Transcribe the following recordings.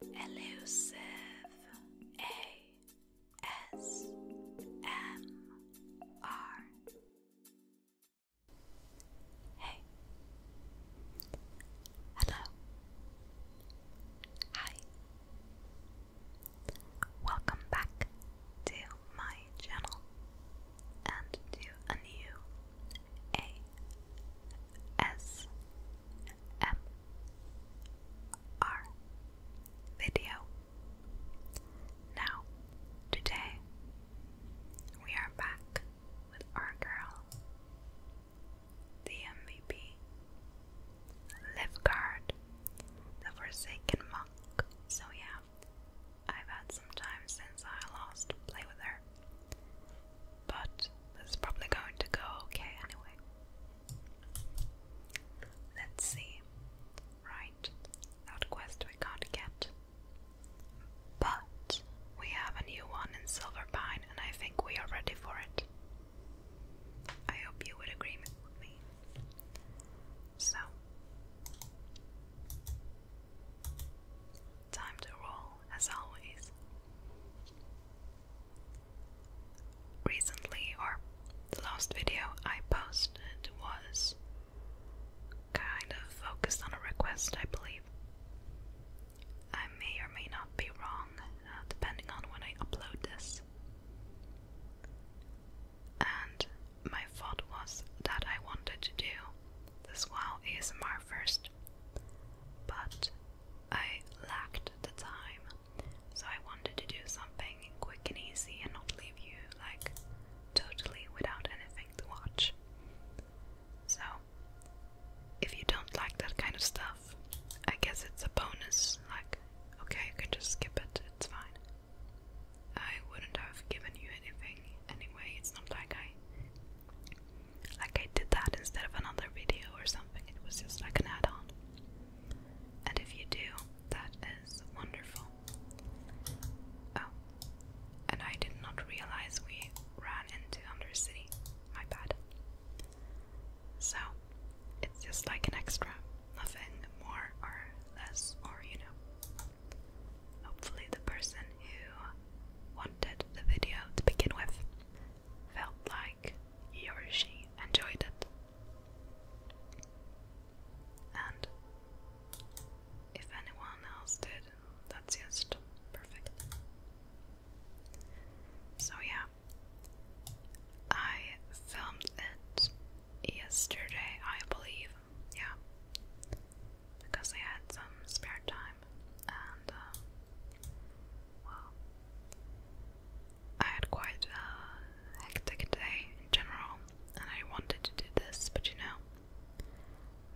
Elusive A S M R. Hey. Hello. Hi. Welcome back to my channel and to a new A S ASMR video. Now, today we are back with our girl, the MVP, Livgard, the Forsaken Monk. So, yeah, I've had some time since I last play with her but it's probably going to go okay anyway. Let's see. Right, that quest we can't get. But we have a new one in Silver and I think we are ready for it. I hope you would agree with me. So, time to roll as always recently, or the last video I posted was kind of focused on a request, I believe. I may or may not be wrong, uh, depending on when I upload this. And my thought was that I wanted to do this while ASMR first, but I lacked the time, so I wanted to do something quick and easy and not leave you like totally without anything to watch. So, if you don't like that kind of stuff, I guess it's a bonus. Like, okay, you can just skip it, it's fine. I wouldn't have given you anything anyway, it's not like I. Like I did that instead of another video or something, it was just like an add on. And if you do, that is wonderful. Oh, and I did not realize we ran into Undercity. My bad. So, it's just like an extra. Nothing more or less, or you know. Hopefully, the person who wanted the video to begin with felt like he or she enjoyed it. And if anyone else did, that's just perfect. So, yeah, I filmed it yesterday, I believe. Yeah, because I had some spare time and, uh, well, I had quite a hectic day in general, and I wanted to do this, but you know,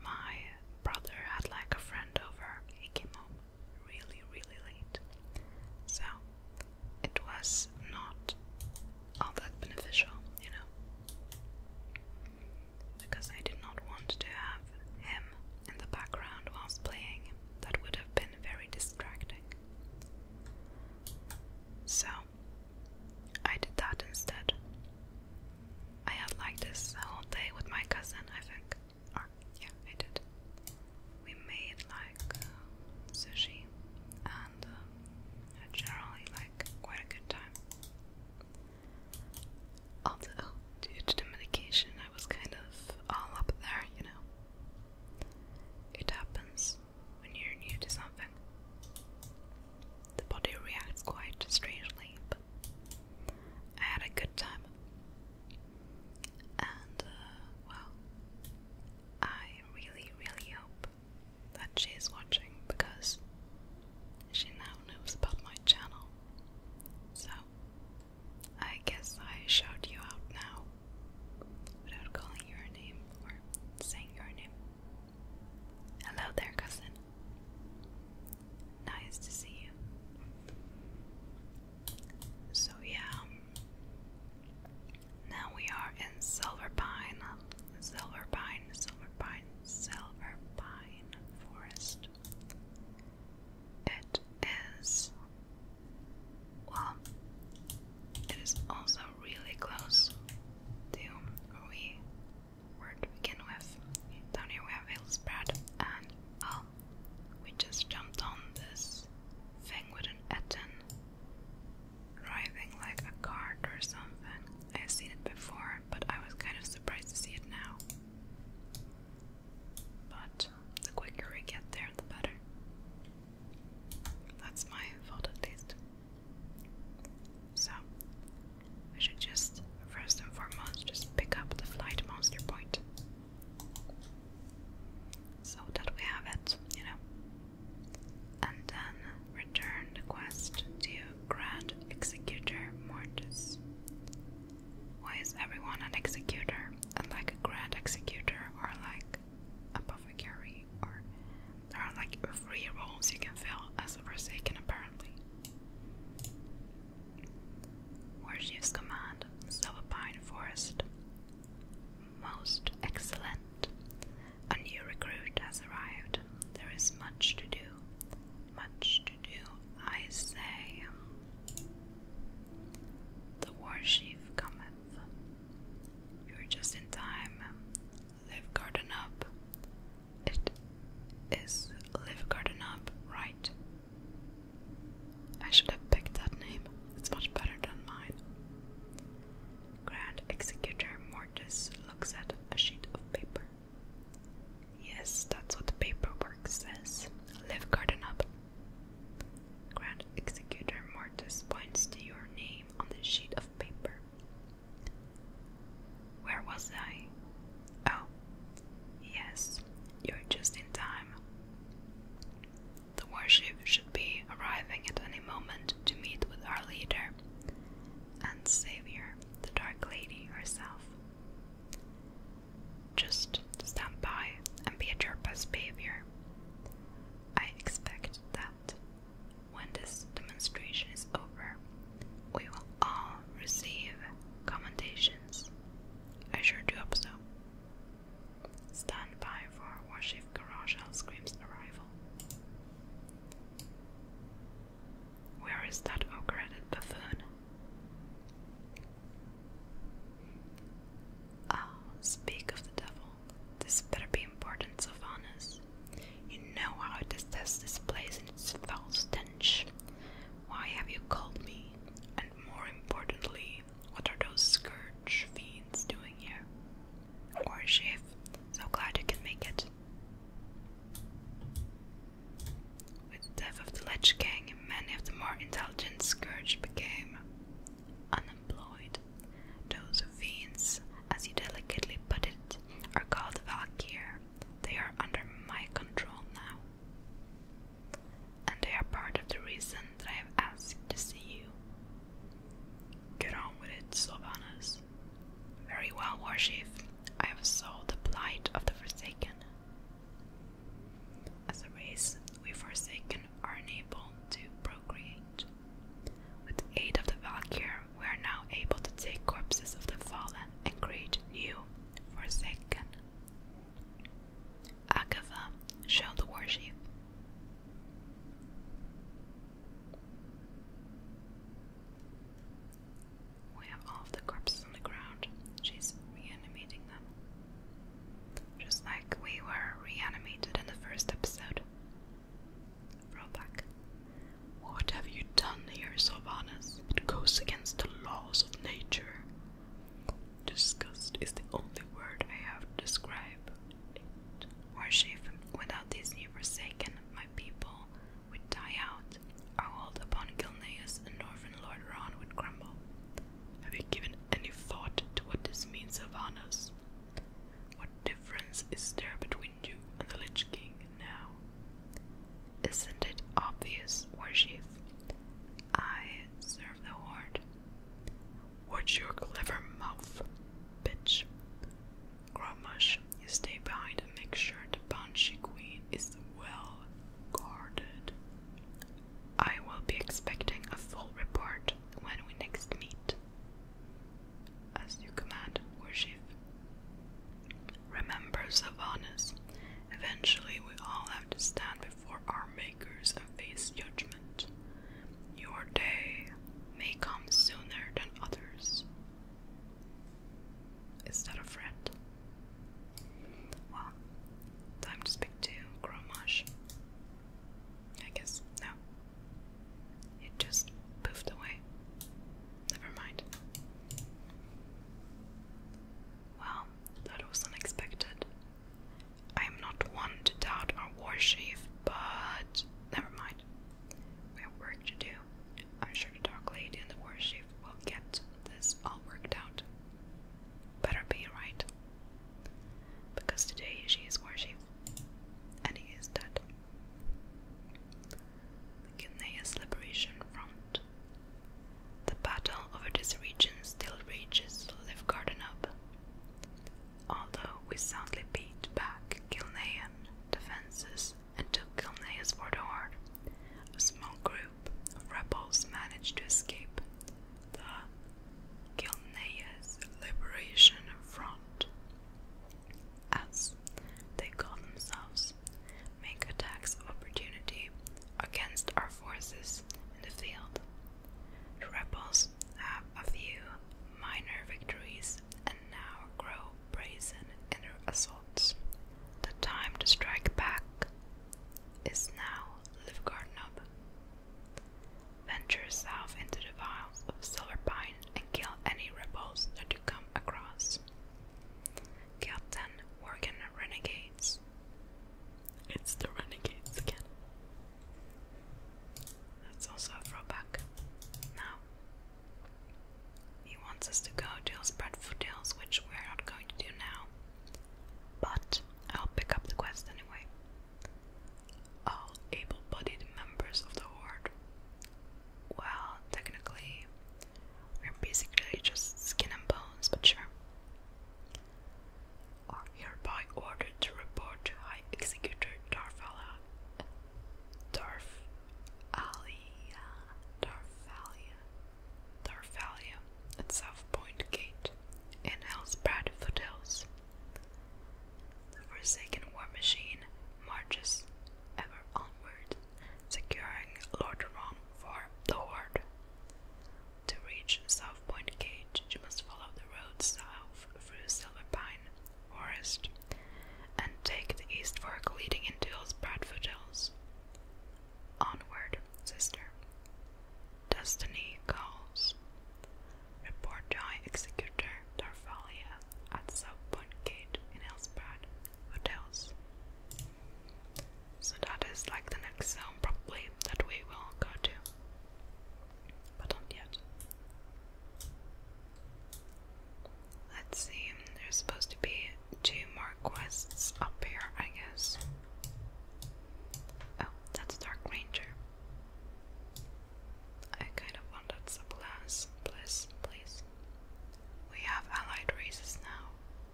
my brother had like a friend over. He came home really, really late, so it was not all that beneficial, you know, because I did not want to have him in the background whilst playing. That would have been very distracting. So, I did that instead. I had like this whole day with my cousin, I think. Or, yeah, I did. We made like uh, sushi and uh, had generally like quite a good time. Although, due to the medication, I was kind of all up there, you know. It happens when you're new to something. The body reacts quite strangely, but I had a good time. And, uh, well, I really, really hope that she's watching because she now knows about my channel. So, I guess I shout you out now without calling your name or saying your name. Hello there, cousin. Nice to see you. So, yeah, um, now we are in Silver Pine, Silver Pine, Forest. It is well, it is also really close to where we were to begin with. Down here we have Hillsbred, and well, we just jumped on this thing with an Etten driving like a cart or something. I've seen it before, but I was kind of surprised to see it now. But the quicker we get there, the better. That's my fault at least. So, I should just, first and foremost, just pick up the flight monster point. So that we have it, you know. And then return the quest to Grand Executor Mortis. Why is everyone an executor? and like a grand executor or like a apothecary or there are like three roles you can fill as a Forsaken apparently. Warshift's command, Silverpine Forest. Most excellent. A new recruit has arrived. There is much to do. Much to do, I say. The war chief cometh. You're just in time. Live garden It is live garden right? I should have picked that name. It's much better than mine. Grand Executor Mortis looks at a sheet of paper. Yes, that's what the paperwork says. Live garden Grand Executor Mortis points to your name on the sheet of paper. Where was I? Oh, yes, you're just in time. The warship should be arriving at any moment to meet with our leader and savior, the Dark Lady herself just stand by and be at your best behavior. I expect that when this demonstration is over, we will all receive commendations. I sure do hope so. Stand by for Warship Garage Scream's arrival. Where is that ogre buffoon? Oh, speak of the devil. This better be important, Sylvanas. You know how I detest this place and its foul stench. Why have you called me? And more importantly, what are those scourge fiends doing here? Or Shiv, so glad you can make it. With the death of the Ledge Gang, many of the more intelligent scourge became unemployed. Those fiends, as you delicately put it, are called Valkyr. They are under my control now. And they are part of the reason that I have asked to see you. Get on with it, Sylvanas. Very well, War Chief. I have solved the plight of the Forsaken. As a race, we forsaken are unable to procreate. With aid of the Valkyr, we are now able to take corpses of the fallen and create new forsaken. Agatha, show the We have all the corpses on the ground. She's reanimating them. Just like we were reanimated in the first episode. Rollback. What have you done here, Sylvanas? It goes against the laws of nature. Disgust is the only word I have to describe it. Worship, without these new forsaken, my people would die out. Our hold upon Gilneas and Northern Lord would crumble. Have you given any thought to what this means, Sylvanas? What difference is there between you and the Lich King now? Isn't it obvious, War Chief? I serve the Horde. Watch your clever mouth, bitch. Gromash, you stay behind and make sure the Banshee Queen is well guarded. I will be expecting a full report when we next meet. As you command, worship. Remember, Savanas, eventually we all have to stand before our makers and face judgment. Your day may come sooner than others. Is that a threat? Well, time to speak to Gromash. I guess no. It just poofed away. Never mind. Well, that was unexpected. I am not one to doubt our war chief, but never mind. We have work to do. I'm sure the Dark Lady and the war chief will get this all worked out. Better be right. Because today she is worshipped, and he is dead. Guinea's liberation front. The battle over this region still rages Livgarden up. Although we soundly beat back Kilnayan defences and took Kilneas for the heart, a small group of rebels managed to escape, the Gilneas Liberation Front, as they call themselves, make attacks of opportunity against our forces in the field. The rebels have a few minor victories and now grow brazen in their assaults. The time to strike back is now, Livgarnub. Venture south into the wilds of Silver Pine and kill any rebels that you come across. Captain ten renegades. It's the renegades again. That's also a throwback. Now, he wants us to go to spread Hills, which we're not going to do now. But I'll pick up the quest anyway all able-bodied members of the horde. Well, technically, we're basically just skin and bones, but sure. Are hereby ordered to report to High Executor Darfala. Darfalia. Darfalia. Darfalia at South Gate in Hell's Foothills. The Forsaken War Machine marches ever onward, securing Lordaeron for the Horde. To reach South Point Gate, you must follow the road south through Silver Pine Forest and take the East Fork leading into those Bradford Hills. Onward, sister. Destiny calls. Report Joy Executor Darvalia at Southbound Gate in Elspeth. What So that is like the next zone probably that we will go to. But not yet. Let's see, there's supposed to be two more quests up here, I guess. Oh, that's Dark Ranger. I kind of wanted the plans, please, please. We have allied races now.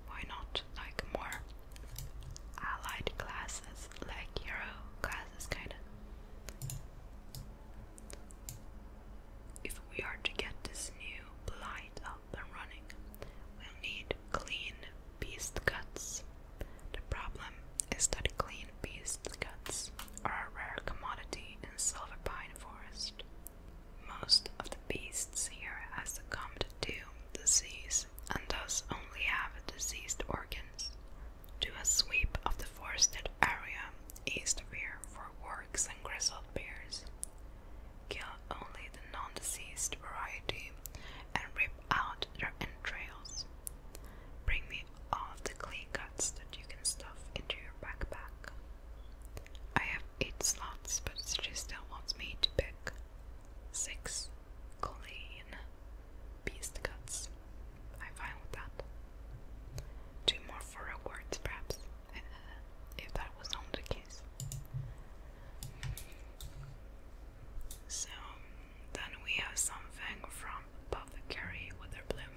Why not like more allied classes, like hero classes, kind of? If we are to get this new blight up and running, we'll need clean beast guts. The problem is that clean beast guts are a rare commodity in Silver Pine Forest. Most of the beasts here has succumbed to disease and thus only have diseased organs. Do a sweep of the forested area east of here for works and grizzled bears. Kill only the non-diseased variety and rip out their entrails. Bring me all the clay cuts that you can stuff into your backpack. I have eight slots, but she still wants me to pick six clean beast cuts. I'm fine with that. Two more for rewards, perhaps, uh, if that was not the case. So, then we have something from Apothecary Witherbloom.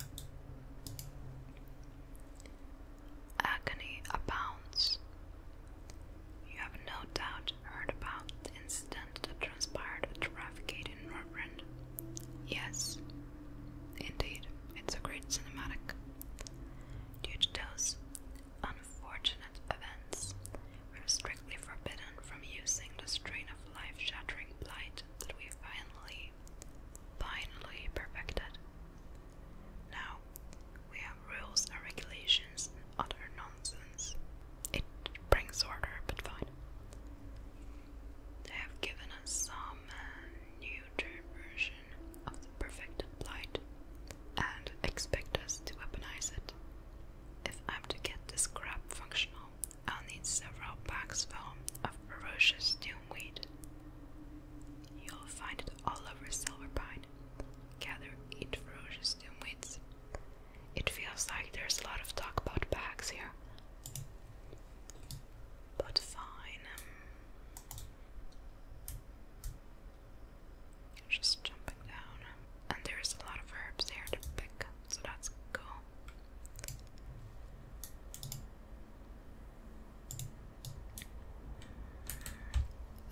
Agony abounds. You have no doubt heard about the incident that transpired at the in Northrend. Yes, indeed, it's a great cinematic. Due to those unfortunate events, we are strictly forbidden from using the strain life shattering blight that we finally, finally perfected. Now, we have rules and regulations and utter nonsense. It brings order, but fine. They have given us some uh, neuter version of the perfected plight and expect us to weaponize it. If I'm to get this crap functional, I'll need several packs full of ferocious doomweed. You'll find it all over Silverpine. Gather eat ferocious doomweeds. It feels like there's a lot of talk about packs here. But fine. Just jumping down. And there's a lot of herbs there to pick, so that's cool.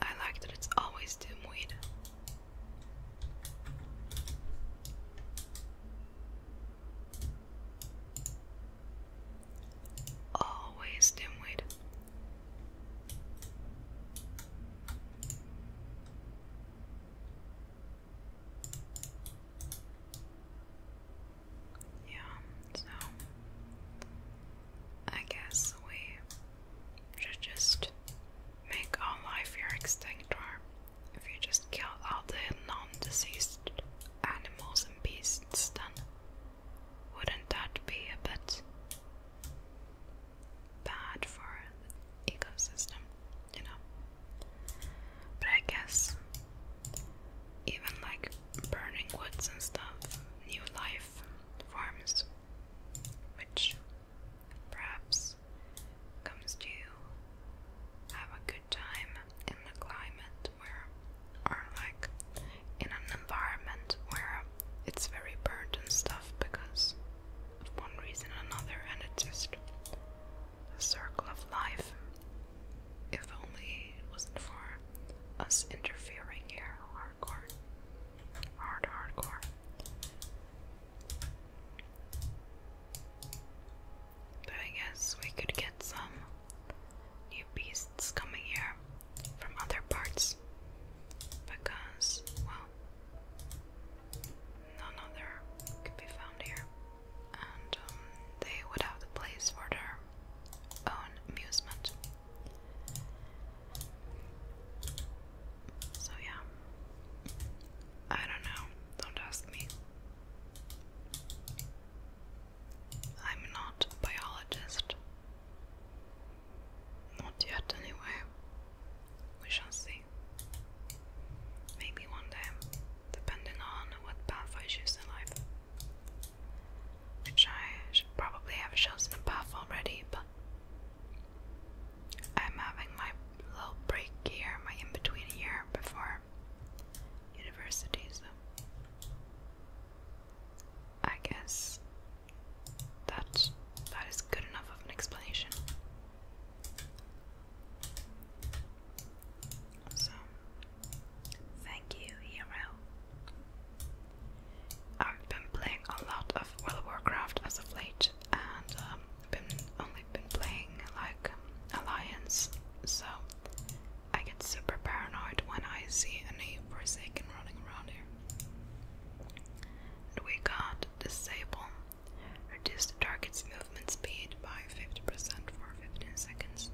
I like that it's always dimweed. Always dimweed. Yeah, so I guess we should just make all life here extinct, or if you just kill all the non-deceased animals and beasts, then wouldn't that be a bit bad for ecosystem, you know. But I guess even like burning woods and stuff, new life forms, which perhaps comes to have a good time in the climate where, or like in an environment where it's very burnt and stuff because of one reason or another, and it's just the circle of life. If only it wasn't for us interfering here, hardcore. Hard, hardcore. But I guess we could get some new beasts coming here from other parts. Because, well, none other could be found here, and um, they would have the place for their own amusement. So, yeah, I don't know, don't ask me. I'm not a biologist. Not yet, anyway. We shall see. Maybe one day, depending on what path I choose in life. Which I should probably have chosen a path already, but I'm having my little break here, my in between year before university, so I guess that that is good enough of an explanation. So, thank you, Hero. I've been playing a lot of World of Warcraft as of late, and um, been only been playing like Alliance, so I get super paranoid when I see any Forsaken running around here. And we got disabled. Reduce the target's movement speed by 50% for 15 seconds.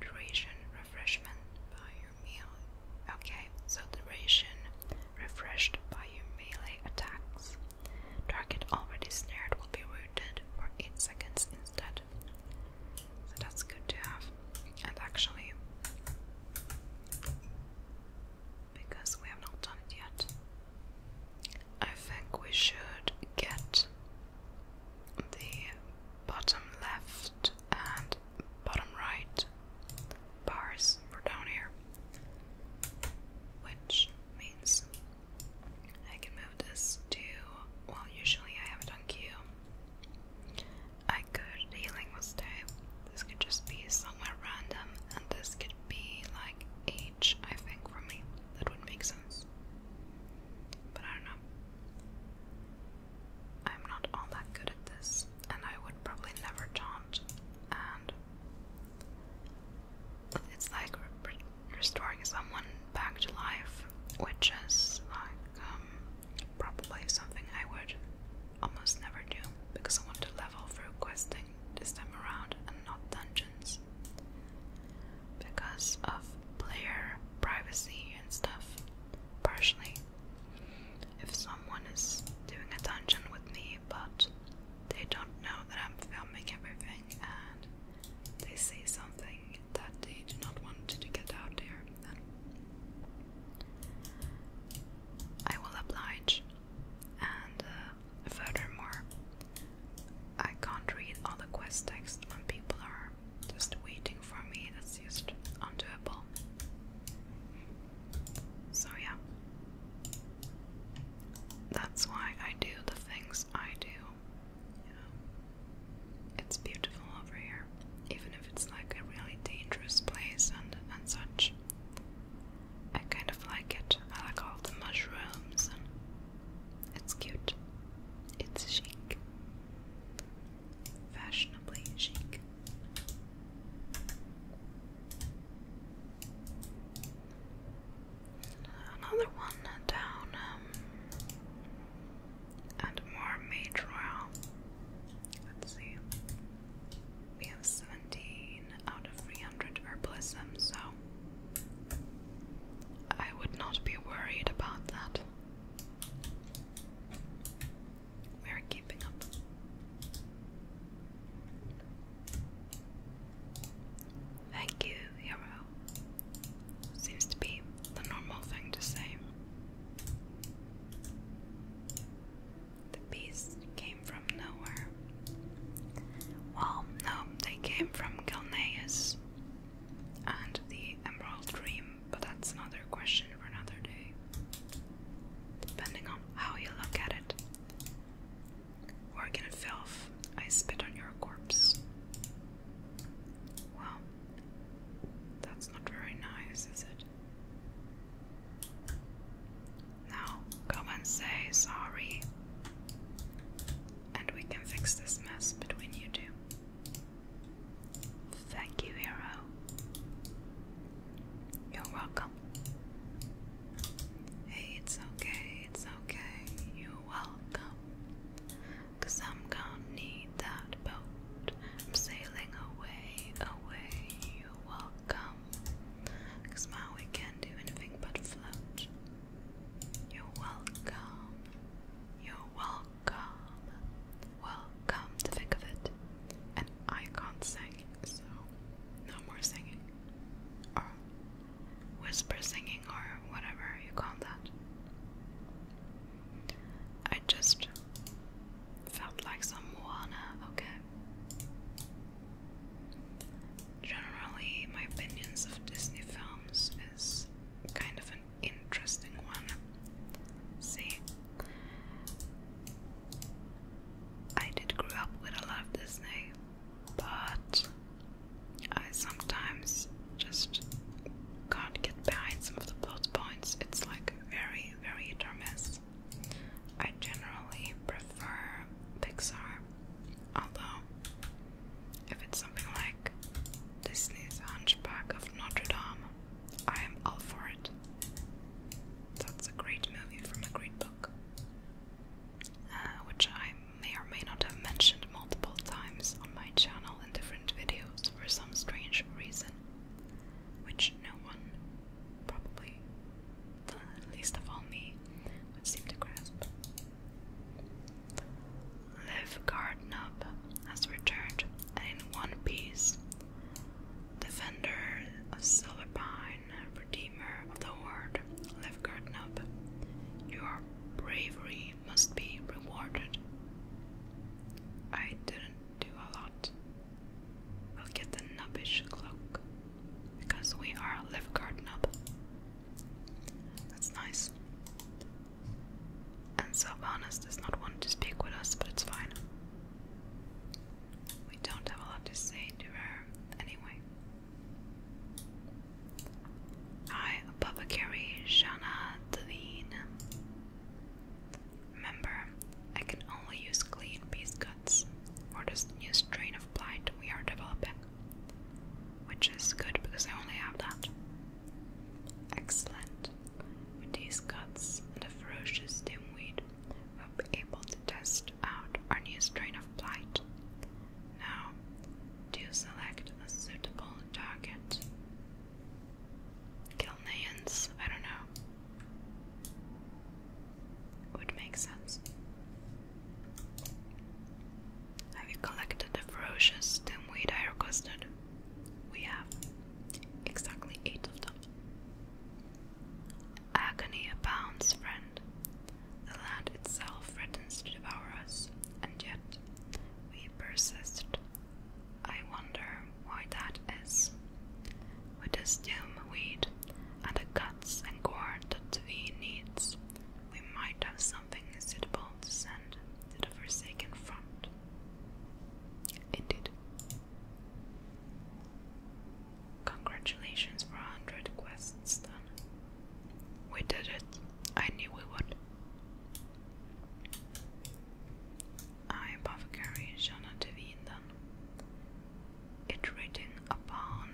Duration refreshment by your meal. Okay, so duration refreshed by your melee attacks. Target already snared will be rooted for 8 seconds instead. So that's good to have. And actually, because we have not done it yet, I think we should get the bottom left and bottom right bars down here, which means I can move this to. Well, usually I have it on Q. I I could healing will stay. This could just be somewhere random, and this could be like H, I think, for me. That would make sense. But I don't know. I'm not all that good at this, and I would probably never taunt. And it's like restoring someone back to life, which is like um, probably something I would almost never do because I want to level through questing this time around and not dungeons because of player privacy and stuff, partially. If someone is doing a dungeon with me, but they don't know that I'm filming everything and they say something that they do not want to get out there, then I will oblige and uh, furthermore, I can't read all the quest text when people are just waiting for me. That's just undoable. So, yeah. That's why I do the things I do. it's beautiful over here, even if it's like a really dangerous place and and such. I kind of like it. I like all the mushrooms it's cute. It's chic. Fashionably chic. Another one down and more Mage Let's see. We have 17 out of 300 herbalism, so I would not be worried about that. We are keeping up. Thank you, hero. Seems to be the normal thing to say. The beast came from nowhere. Well, no, they came from Galneas and the Emerald Dream, but that's another question for another day, depending on how you look at it. Working I spit on your corpse. Well, that's not very nice, is it? Now, come and say sorry and we can fix this mess between you two. Thank you, hero. You're welcome. Hey, it's okay, it's okay. You're welcome. Cause I'm gonna need that boat. I'm sailing away, away. You're welcome. Cause my we can't do anything but float. You're welcome. You're welcome. Welcome to think of it. And I can't sing, so no more singing. Or whisper singing or whatever you call that. I just felt like some uh, okay? generally my opinions of Disney films is kind of an interesting one. See, I did grow up with a lot of Disney, but I sometimes just can't get behind some of the plot points. It's like very, very hit I generally prefer Pixar, although if it's something like Disney's Hunchback of Notre Dame, I am all for it. That's a great movie from a great book, uh, which I may or may not have mentioned multiple times on my channel in different videos for some strange reason, which no one, probably least of all me, would seem to grasp. Liv has returned in one piece. Defender of Silverpine, Redeemer of the world, Liv your bravery must be rewarded. I didn't do a lot. We'll get the nubbish cloak because we are Liv that's nice. And Sylvanas does not want to speak with us, but it's fine. We don't have a lot to say to her anyway. I, Apothecary Shana Devine. Remember, I can only use clean beast guts for this new strain of blight we are developing which is good because I only have that. Excellent. With these cuts and the ferocious dimweed, we'll be able to test out our new strain of blight. Now, do you select a suitable target? Kilneans, I don't know. Would make sense. Have you collected the ferocious stemweed I requested? We have. Exactly eight of them. Agony abounds, friend. The land itself threatens to devour us, and yet we persist. I wonder why that is. With the stem weed and the cuts and corn that we need we might have something suitable to send to the Forsaken Front. Indeed. Congratulations for a hundred quests done. We did it. I knew we would. I apothecary Jana Devine then. Iterating upon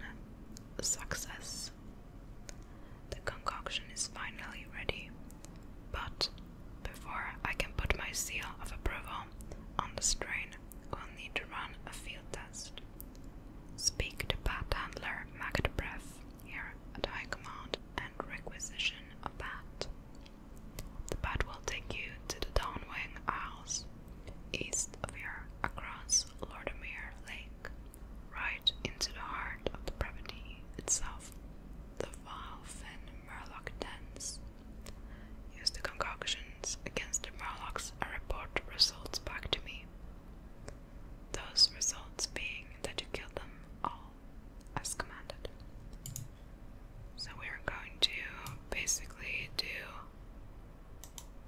success the concoction is finally ready, but before I can put my seal of approval on the strain, we'll need to run a field test. Speak to Bat Handler Magdebreath here at High Command and requisition a bat. The bat will take you to the Downwing Isles, east of here across Lordermere Lake right into the heart of the property itself. The Valve and Murloc dens. Use the concoctions against the Murlocs and report results back to me. Those results being that you killed them all as commanded. So we're going to basically do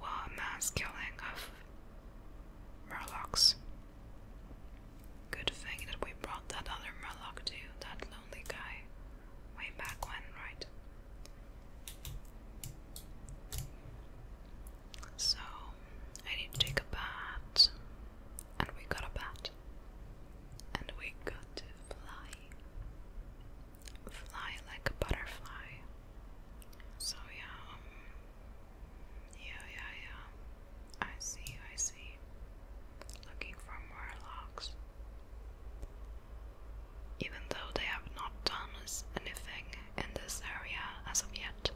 a mass killing of Murlocs. Good thing that we brought that other Murloc too, that lonely guy, way back when, right? So, I need to take a bat, and we got a bat, and we got to fly. Fly like a butterfly. So, yeah, um, yeah, yeah, yeah. I see, I see. Looking for more logs. Even though they have not done us anything in this area as of yet.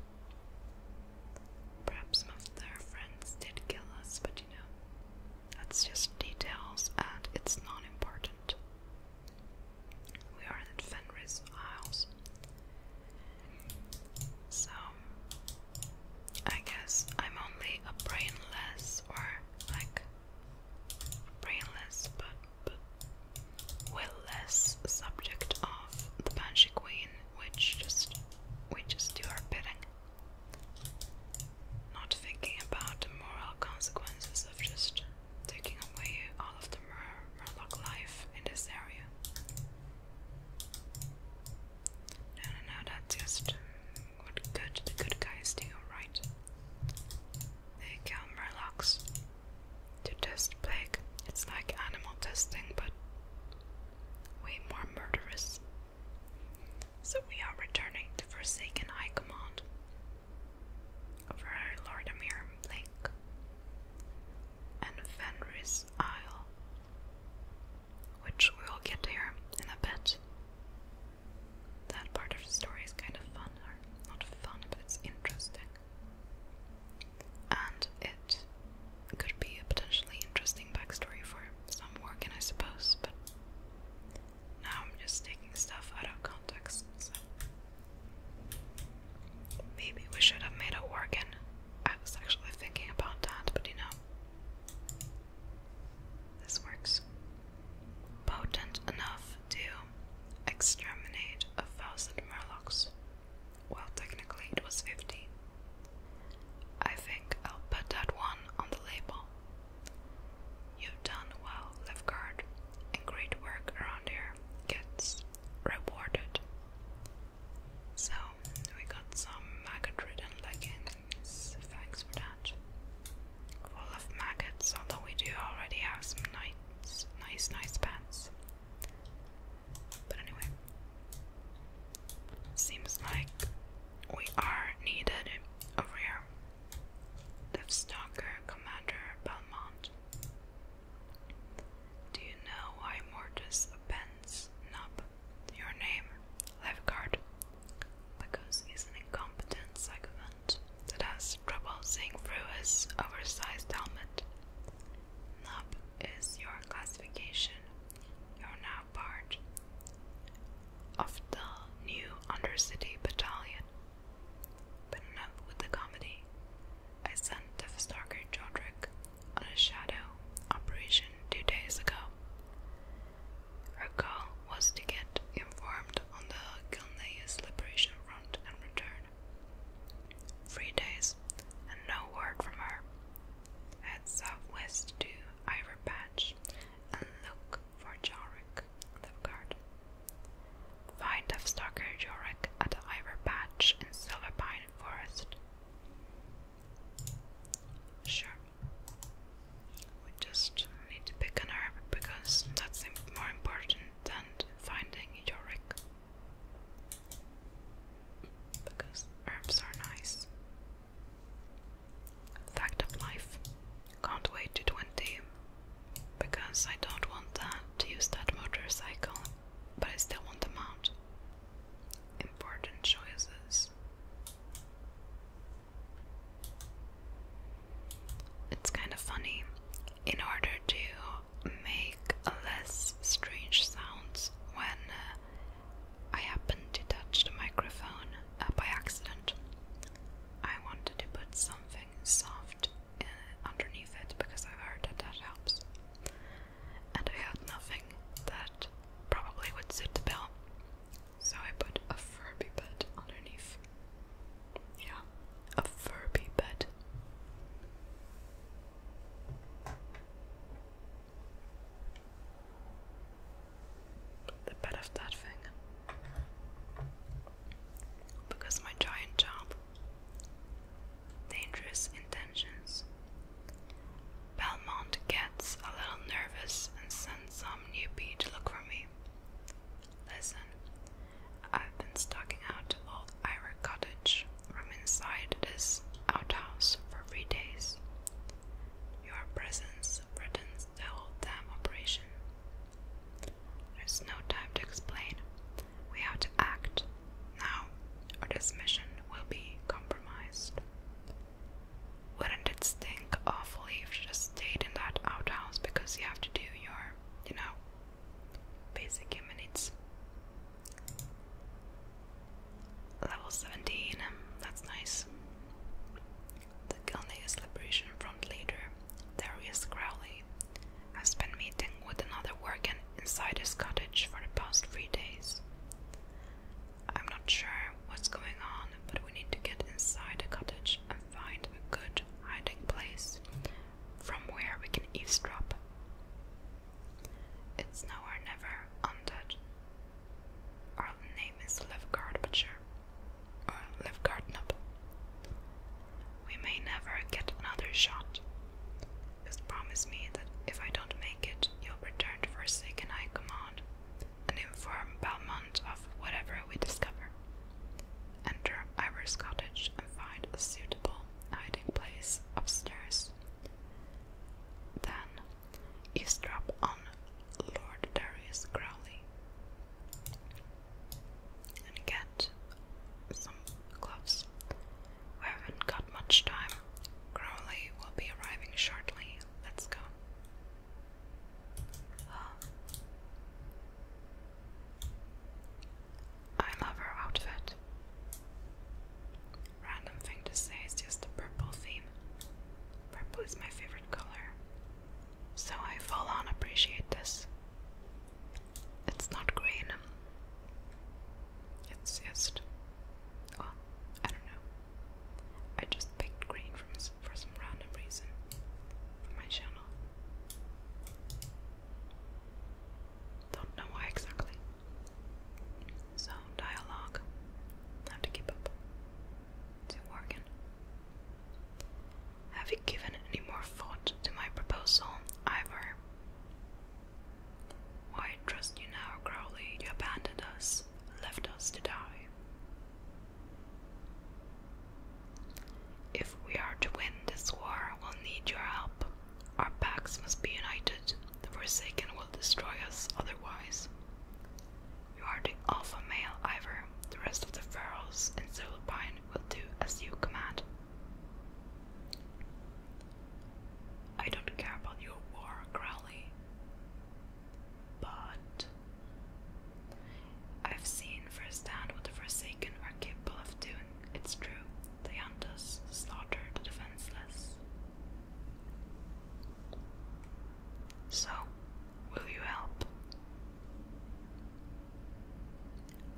Perhaps some of their friends did kill us, but you know, that's just details and it's not important. We are in Fenris Isles, so, I guess I'm only a brainless or like brainless but, but willless subject of the Banshee Queen, which just just do our bidding. Not thinking about the moral consequences of just taking away all of the Murloc life in this area. No, no, no, that's just what good the good guys do, right? They kill murlocs to test plague. It's like animal testing, but way more murderous. So we are returning to Forsaken High Command over Lord Amir Blink and Fenris this which we'll get to here in a bit. That part of the story is kind of fun, or not fun, but it's interesting. And it could be a potentially interesting backstory for some Morgan, I suppose, but now I'm just taking stuff out of context, Maybe we should have made an organ. I was actually thinking about that, but you know, this works. Potent enough to exterminate a thousand murlocs. Well, technically it was 50. I think I'll put that one on the label. You've done well, Guard, and great work around here gets rewarded. So we got some maggot ridden leggings, thanks for that. Full of maggots, although we do already have some nice, nice, nice pants. But anyway, seems like we are needed over here. Deathstalker Commander Belmont. Do you know why Mortis appends Nub your name, lifeguard? Because he's an incompetent sycophant that has trouble seeing through his oversized helmet. Nub is your classification. You're now part of the new Undercity Battalion. But enough with the comedy. I sent the Stalker Jodrick on a shadow operation two days ago. Her goal was to get informed on the Gilneas Liberation Front and return. Three days and no word from her. Head southwest to Ivor and look for Jorik, the guard. Find Stalker Jorik at the in Silverpine Forest Sure. We just need to pick an herb because that's more important than finding your wreck. Because herbs are nice. Fact of life. Can't wait to 20 because I don't want that to use that motorcycle but I still want them out. Important choices. It's kind of funny. In order to make less strange sounds when uh, I happen to touch the microphone uh, by accident, I wanted to put something soft uh, underneath it because I've heard that that helps and I had nothing that probably would suit the bill, so I put a Furby bed underneath. Yeah, a Furby bed. The bed of that thing. Because my giant job dangerous intentions. Belmont gets a little nervous and sends some newbie to look for me. Listen, I've been stalking out old Ira Cottage from inside this outhouse for three days. Your presence threatens the whole damn operation. There's no time to explain. We have to act. Now, this mission will be compromised. Wouldn't it stink awfully if you just stayed in that outhouse because you have to do your, you know, basic human Level 17, that's nice. The Gilneas Liberation Front leader, Darius Crowley, has been meeting with another worker inside his cottage for the past three days. I'm not sure what's going on, but we need to get inside the cottage and find a good hiding place from where we can eavesdrop. It's now or never, undead. Our name is Levgard Butcher, or Levgard Nub. We may never get another shot. Just promise me that if I don't make it, you'll return to Forsaken I Command and inform Belmont of whatever we discover. Enter Ivor's cottage and find a suitable hiding place upstairs. Then eavesdrop on Lord Darius Crowley and get some gloves. We haven't got much time. Crowley will be arriving shortly. Let's go. Ah. I love her outfit. Random thing to say is just the purple theme. Purple is my favorite color. So I full on appreciate this. It's not green. It's just well, I don't know. I just picked green from, for some random reason for my channel. Don't know why exactly. So, dialogue. have to keep up. Is Have you given any more thought to my proposal, either? I trust you now, Crowley? You abandoned us, left us to die. If we are to win this war, we'll need your help. Our packs must be united. The Forsaken will destroy us otherwise. You are the alpha male, Ivor. The rest of the pharaohs and Solopine will do as you command. I don't care about your war, Crowley, but I've seen firsthand what the Forsaken are capable of doing. It's true, they hunt us, slaughter the defenseless. So, will you help?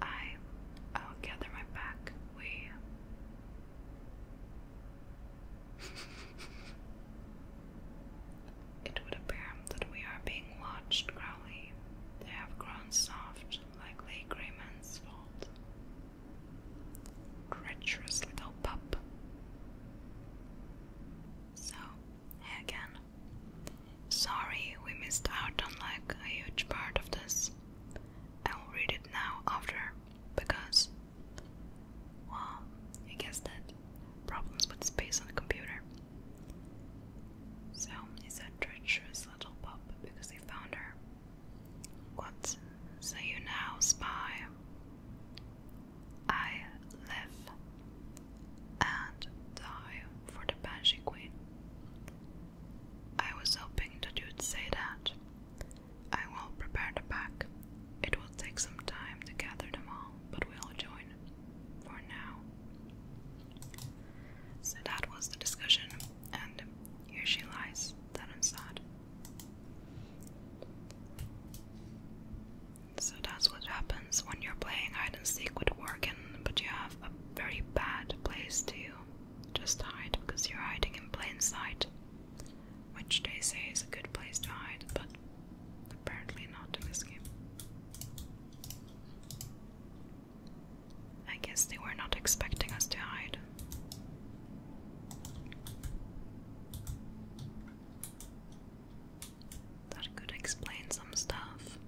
I I'll gather my pack. We it would appear that we are being watched, Crowley. They have grown soft, like Lay Greyman's fault. Treacherous little pup. So, again. Sorry we missed out on like a huge part of this. I'll read it now after, because well, I guess that problems with space on the computer. So it's a treacherous little pup because they found her. What So you now, spy? I live and die for the Banshee Queen. I was hoping that you'd say that. I will prepare the pack. It will take some time to gather them all, but we'll join for now. So that was the discussion, and here she lies, dead and sad. So that's what happens when you're playing hide and seek with Workin, but you have a very bad place to just hide because you're hiding in plain sight which they say is a good place to hide, but apparently not in this game. I guess they were not expecting us to hide. That could explain some stuff.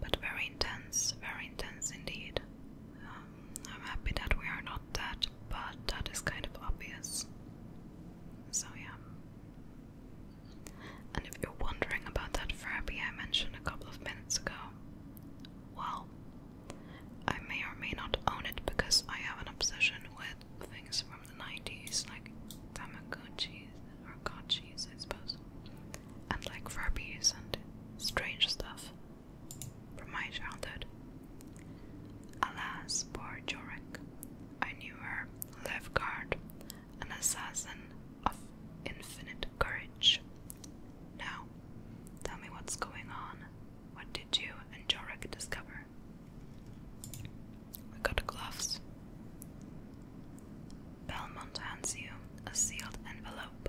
But very intense, very intense indeed. I'm happy that we are not that, but that is kind of obvious. So, yeah. And if you're wondering about that Furby I mentioned a couple of minutes ago, well, I may or may not own it because I have an obsession with things from the 90s, like Tamagotchis or Gotchis, I suppose, and like Furbies and strange stuff from my childhood. Alas, poor Jorik! I knew her, Lefgard, an assassin of infinite courage. Now, tell me what's going on. What did you and Jorik discover? We got gloves. Belmont hands you a sealed envelope.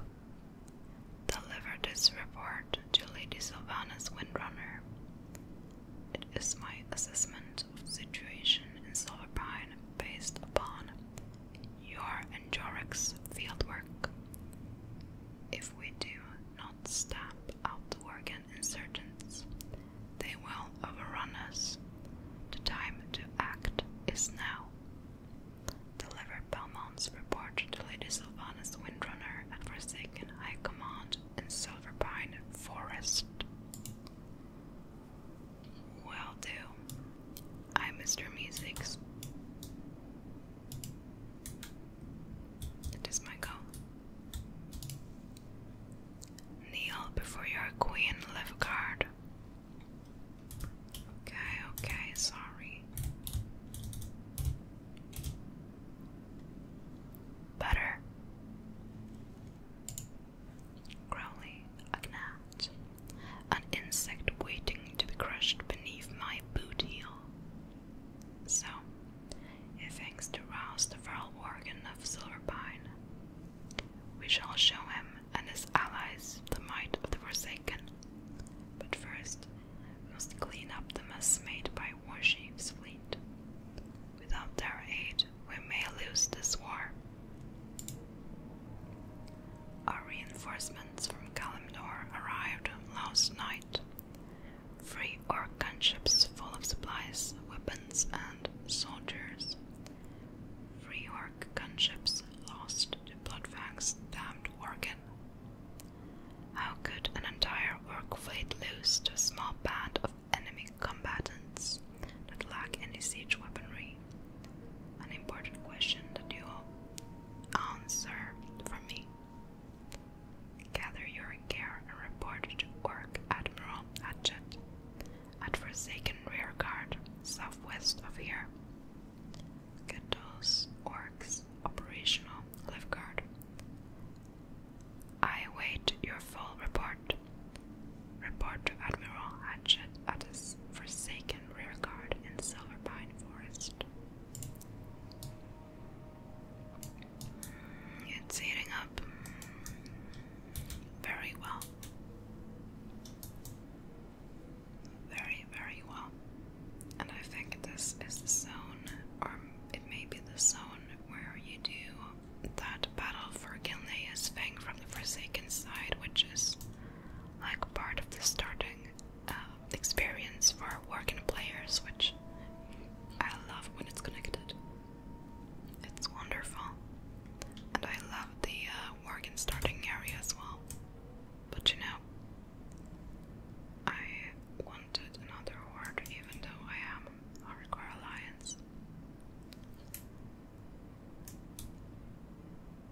Deliver this report to Lady Sylvanas Windrunner. It is my assessment of the situation in Silverpine based upon your and Jorik's fieldwork. If we do not stamp out the Worgen insurgents, they will overrun us. The time to act is now delivered Belmont's report to Lady Sylvanus Windrunner at Forsaken High Command in Silverpine Forest. Well do. i Mr. Musics. It is my goal. Kneel before your queen, Levgard. Okay, okay, sorry. Butter. Crowley, a gnat, an insect waiting to be crushed beneath my boot heel. So, if thanks to rouse the viral organ of Silverpine, we shall show him and his allies the might of the Forsaken. But first, we must clean up the mess made by Warshive's fleet. Without their aid, we may lose this war. Our reinforcements from Kalimdor arrived last night. Three orc gunships full of supplies, weapons, and soldiers. Three orc gunships lost to Bloodfang's damned organ. How could an entire work fleet lose to a small band of enemy combatants that lack any siege weaponry? An important question that you will answer for me. Gather your gear and report to work, Admiral Hackett, at Forsaken Rearguard, southwest of here. Gandalf's orcs operational left guard. I await your full report. Report to Admiral Hatchet at his forsaken rear guard in Silver Pine Forest. It's heating up very well. Very, very well. And I think this is the zone, or it may be the zone where you do that battle for Gilnea's Fang from the Forsaken side, which is like part of the starting uh, experience for working players, which I love when it's connected. It's wonderful. And I love the uh, starting area as well. But you know, I want another award even though I am Hardcore Alliance.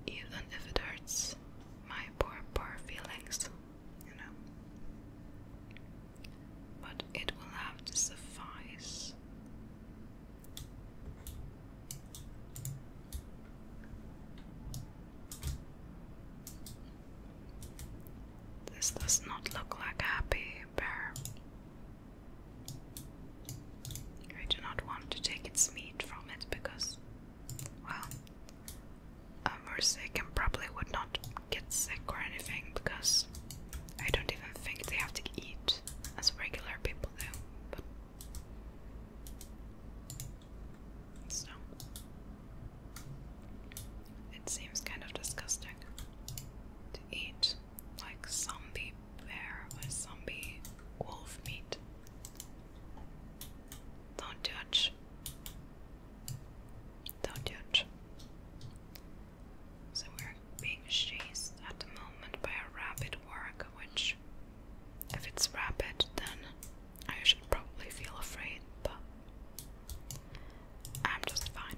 Even if it hurts my poor, poor feelings, you know. But it will have to suffice. This does not look like a happy bear. I do not want to take its meat from it because, well, a Murcic probably would not get sick or anything because I don't even think they have to eat as regular people do. So it seems kind of disgusting to eat like zombie bear or zombie wolf meat. Don't touch. Don't touch. So we're being chased at the moment by a rapid work, which if it's rapid, then I should probably feel afraid, but I'm just fine.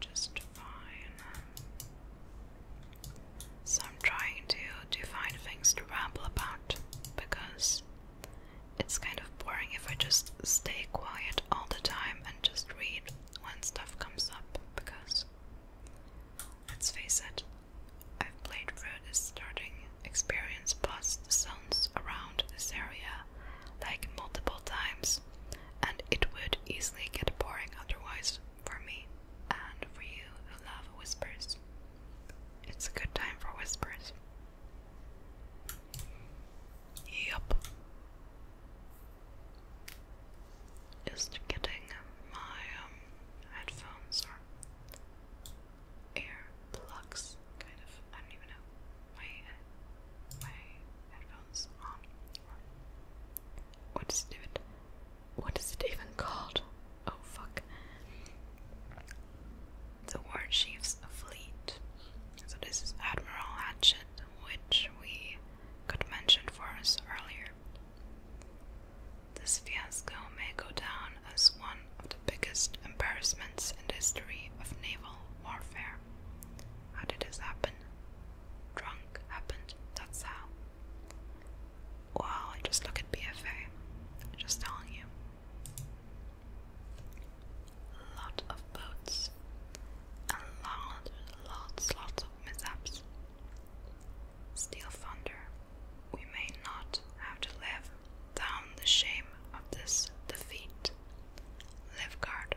Just fine. So I'm trying to, to find things to ramble about because it's kind of boring if I just stay quiet all the time and just read when stuff comes up because let's face it, I've played through this starting experience plus the sounds around this area like multiple times, and it would easily get boring otherwise for me and for you who love whispers. It's a good time for whispers. Yup. Just getting my um, headphones or air plugs, kind of. I don't even know. My my headphones on. What is it even? What is it even called? Oh fuck. The war chief's fleet. So this is Admiral Hatchet, which we could mention for us earlier. This fiasco may go down as one of the biggest embarrassments in the history of naval warfare. How did this happen? Drunk happened, that's how. Well, just look at BFA. Just telling you. Lot of boats and lot, lots, lots of mishaps. Still thunder. We may not have to live down the shame of this defeat. Lifgard,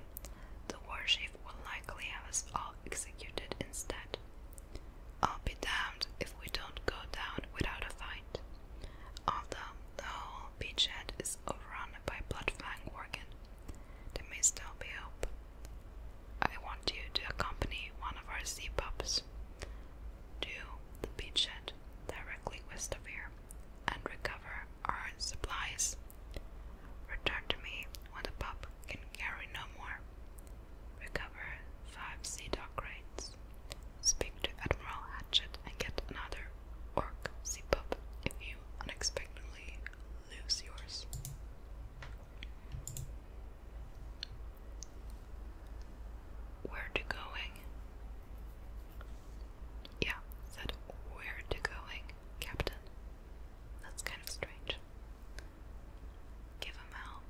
the war chief will likely have us all executed instead. I'll be damned if we don't go down without a fight. Although the whole beachhead is overrun by blood-flying worgen, there may still be hope. I want you to accompany one of our sea pups to the beachhead directly west of here and recover our supplies. Return to me when the pup can carry no more. Recover five sea dog crates. Speak to Admiral Hatchet and get another orc sea pup if you unexpectedly lose yours where to going. Yeah, said where to going, Captain. That's kind of strange. Give him hell.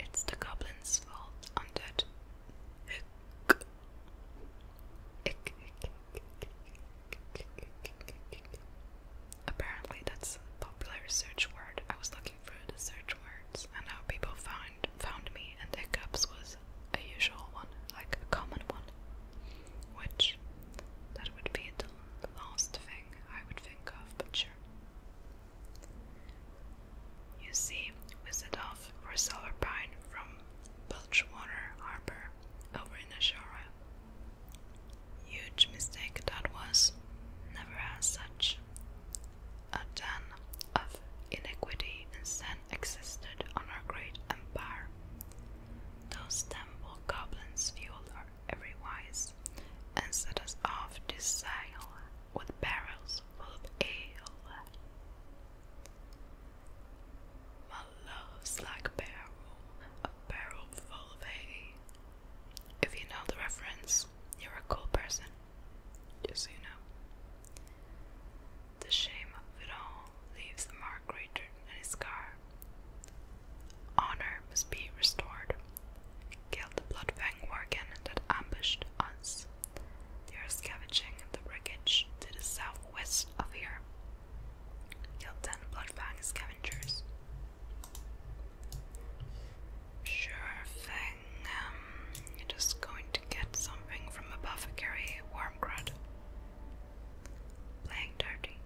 It's the goblin's fault, undead. Hick. Hick, Apparently, that's a popular search word. I was looking for the search words and how people found found me and cups was a usual one, like a common one. Which that would be the last thing I would think of, but sure. You see, we set off for Silverpine from Belchwater Harbour over in Ashara. Huge mistake that was. Never as such a den of iniquity and sin existed on our great empire. Those temple goblins fueled our every wise and set us off to sail with barrels full of ale. My love's like barrel, a barrel full of hay. If you know the reference, you're a cool person, just so you know. The shame of it all leaves a mark greater than a scar. Honor must be restored. Killed the bloodfang worgen that ambushed us. They are scavenging the wreckage to the southwest of here. Killed ten bloodfang scavengers. Sure thing. Um, just going to get something from Apothecary Wormgrud. Playing dirty.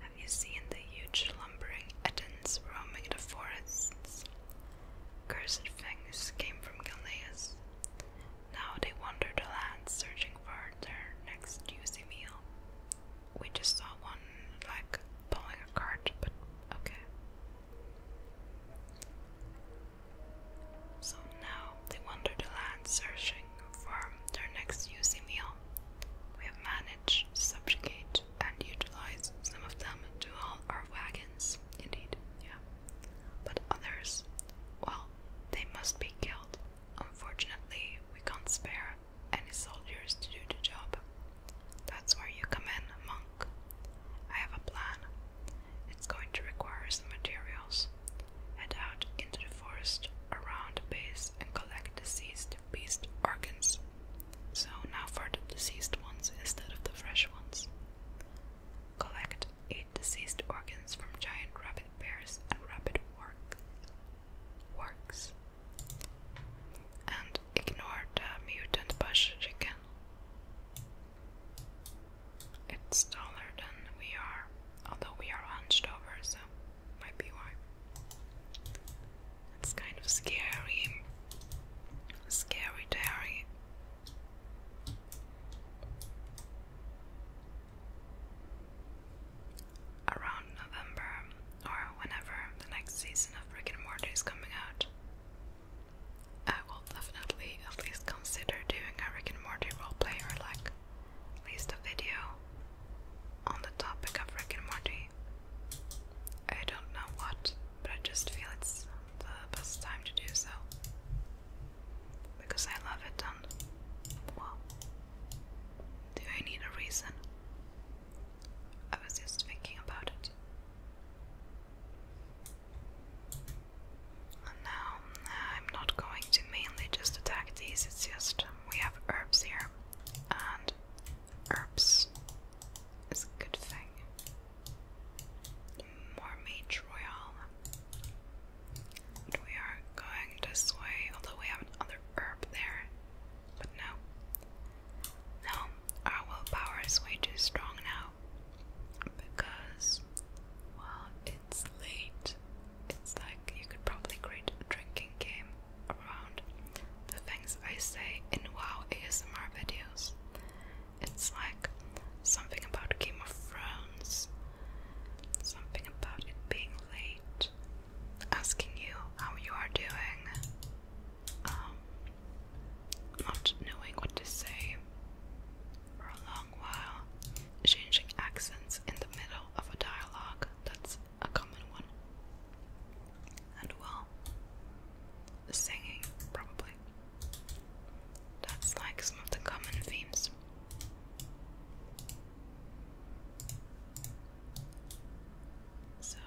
Have you seen the huge lumbering Ettins roaming the forests? Cursed things came from Gilneas. Now they wander the land searching for their next juicy meal. We just saw one like pulling a cart, but okay. So now they wander the land searching for their next juicy meal. We have managed to subjugate and utilize some of them to all our wagons, indeed, yeah. But others, well, they must be killed. Unfortunately, we can't spare any soldiers to do the job, that's where you come in, monk. I have a plan. It's going to require some materials. Head out into the forest around the base and collect deceased beast organs. So now for the deceased ones instead of the fresh ones. Collect eight deceased organs from giant rabbit bears and rabbit work works. And ignore the mutant bush chicken. It's taller than we are, although we are hunched over, so might be why. It's kind of scary. Scary Terry. Around November or whenever the next season of Rick and Morty is coming out, I will definitely at least consider doing a Rick and Morty roleplay or like at least a video on the topic of Rick and Morty. I don't know what, but I just feel it's the best time to do so. Because I love it and well do I need a reason? I was just thinking about it now I'm not going to mainly just attack these, it's just um, we have herbs here, and herbs is a good thing. More mage royal. we are going this way, although we have another herb there, but no. No, our willpower is way too strong now because, well, it's late. It's like you could probably create a drinking game around the things I say in WoW ASMR videos. It's like something about Game of Thrones, something about it being late, asking you how you are doing, um, not knowing what to say for a long while, changing accents in the middle of a dialogue that's a common one. And well, singing, probably. That's like some of the common themes. So,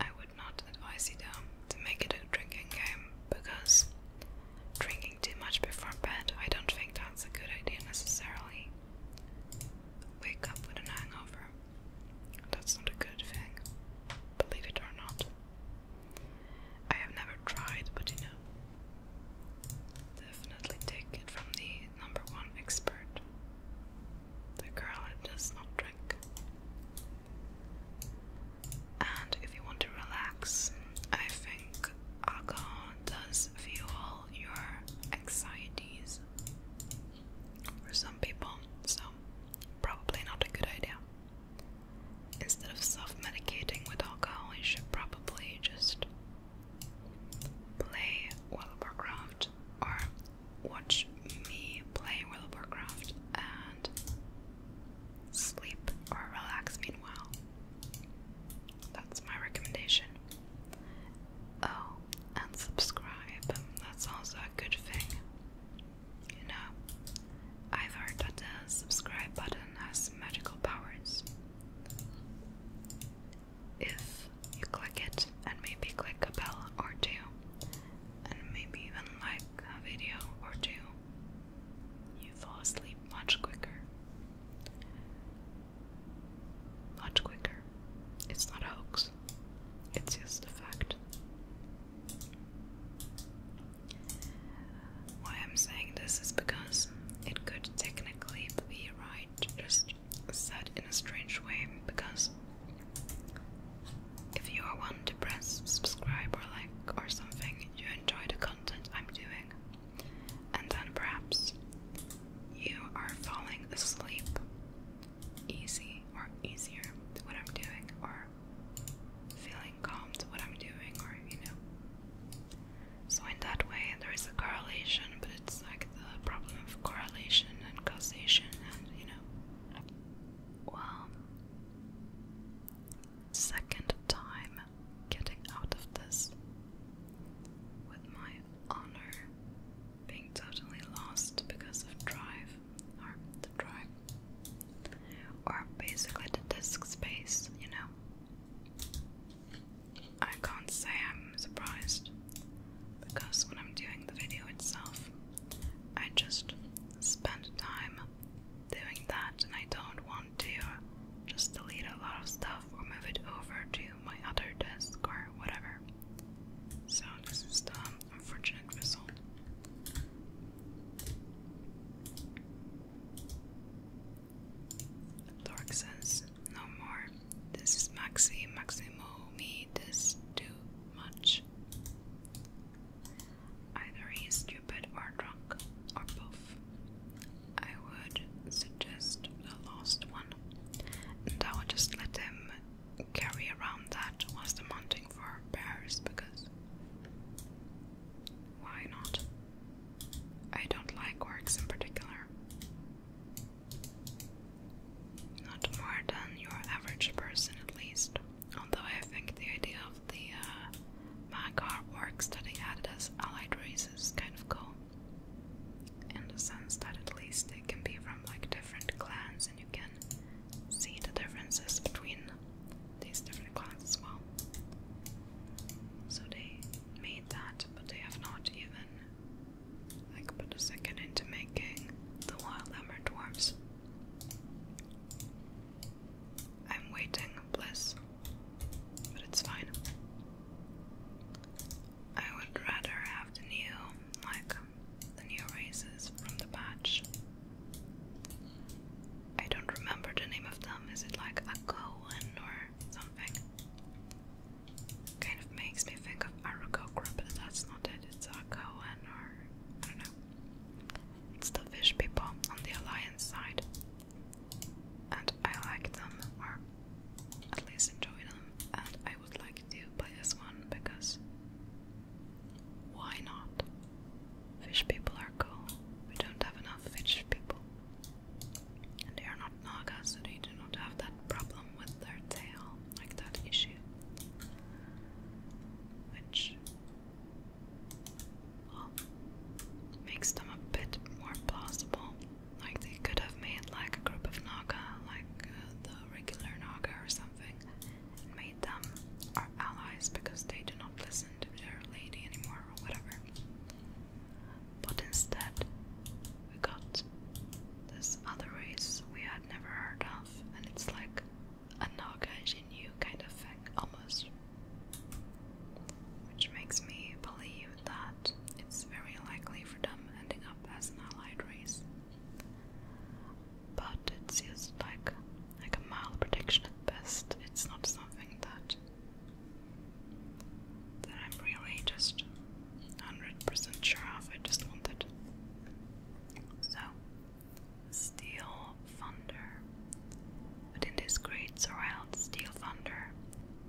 I would not advise you to make it a drinking game because drinking too much before bed, I don't think that's a good idea necessarily. Wake up with an hangover. That's not a good thing, believe it or not. I have never tried, but you know. Definitely take it from the number one expert the girl does not drink. And if you want to relax, I think alcohol does fuel your anxieties for some people, so probably not a good idea. Instead of self medicating with alcohol, you should probably just play World of Warcraft or watch me play World of Warcraft and sleep or relax meanwhile. That's my recommendation. Oh, and subscribe. That's also a good thing. You know, I've heard that the subscribe button has magical powers. If you click it and maybe click a bell or two, and maybe even like a video or two, you fall asleep much quicker. Much quicker. It's not a hoax, it's just a fact. Why I'm saying this is because it could technically be right, just said in a strange way, because if you are one to press subscribe or like or something, you enjoy the content I'm doing, and then perhaps you are falling asleep easy or easier to what I'm doing, or feeling calm to what I'm doing, or you know. So, in that way, there is a correlation, but it's like the problem of correlation and causation, and you know. Well, Second time getting out of this with my honor being totally lost because of drive or the drive or basically the disk space, you know. I can't say I'm surprised because when I'm doing the video itself, I just spend time doing that and I don't want to just delete a lot of stuff or move it over to my other desk or whatever. So this is the unfortunate result. Dork says, no more. This is Maxi, Maximo, me, this too much. Either he stupid or drunk, or both. I would suggest the last one, and I would just let them carry around that whilst I'm hunting for bears because why not? I don't like works in particular. Not more than your average person, at least although I think the idea of the uh, mag that they added as allied races is kind of cool. In the sense that at least they can be from like different clans and you can see the differences between these different clans as well. So they made that, but they have not even like put a second into making the wild hammer dwarves. I'm waiting, bless, but it's fine. I would rather have the new, like, the new races from the patch. I don't remember the name of them. Is it like a Cohen or something? Kind of makes me think of Arago but that's not it. It's a Cohen or I don't know. It's the fish people on the Alliance side. And I like them, or at least enjoy them. And I would like to play this one because why not? Fish people are cool. We don't have enough fish people. And they are not Naga, so they do not have that problem with their tail, like that issue. Which makes them a bit more plausible. Like they could have made like a group of Naga, like uh, the regular Naga or something, and made them our allies because they do not listen to their lady anymore or whatever. But instead, we got this other race we had never heard of, and it's like a new kind of thing, almost. Which makes me believe that it's very likely for them ending up as an allied race. But it's just like like a mild prediction at best. It's not something that that I'm really just hundred percent sure of. I just wanted, So Steel Thunder. Within this great surround, Steel Thunder,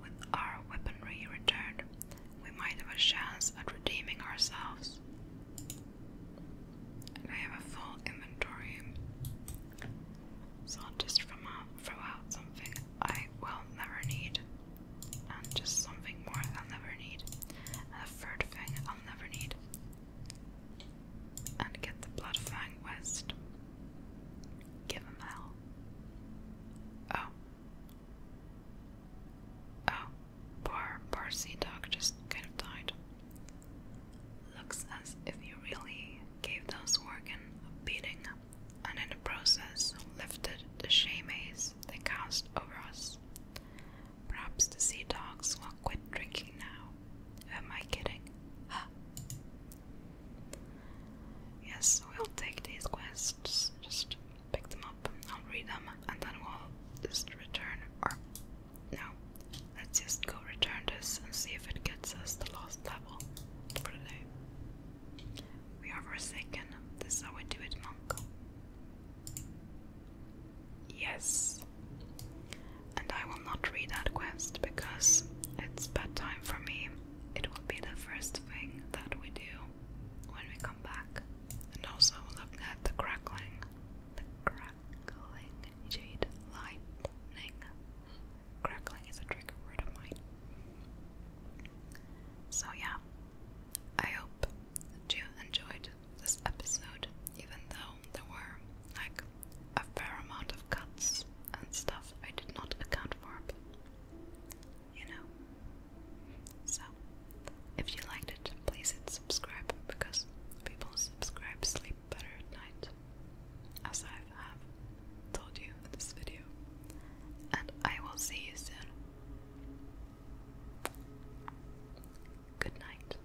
with our weaponry returned, we might have a chance at redeeming ourselves. I have a full inventory, so I'll just throw out something I will never need, and just something more I'll never need, and a third thing I'll never need and get the Bloodfang West. Give him hell. Oh. Oh, poor, poor sea just kind of died. Looks as if you really gave those Worgen a beating, and in the process lifted the shame they cast over us. Perhaps the sea dogs will quit drinking now. Am I kidding? Huh. Yes, we'll take these quests. Just pick them up. I'll read them, and then we'll just return. Or no, let's just go return this and see if it gets us the last level for We are forsaken. This how we do it, Monko. Yes. And I will not read that quest because it's bedtime for me. It will be the first thing that we do when we come back. And also look at the crackling, the crackling jade lightning. Crackling is a trigger word of mine. So, yeah, I hope you enjoyed this episode, even though there were like a fair amount of cuts and stuff I did not account for, you know. So, if you liked it, please hit subscribe because people subscribe sleep better at night, as I have told you in this video. And I will see you soon. Good night.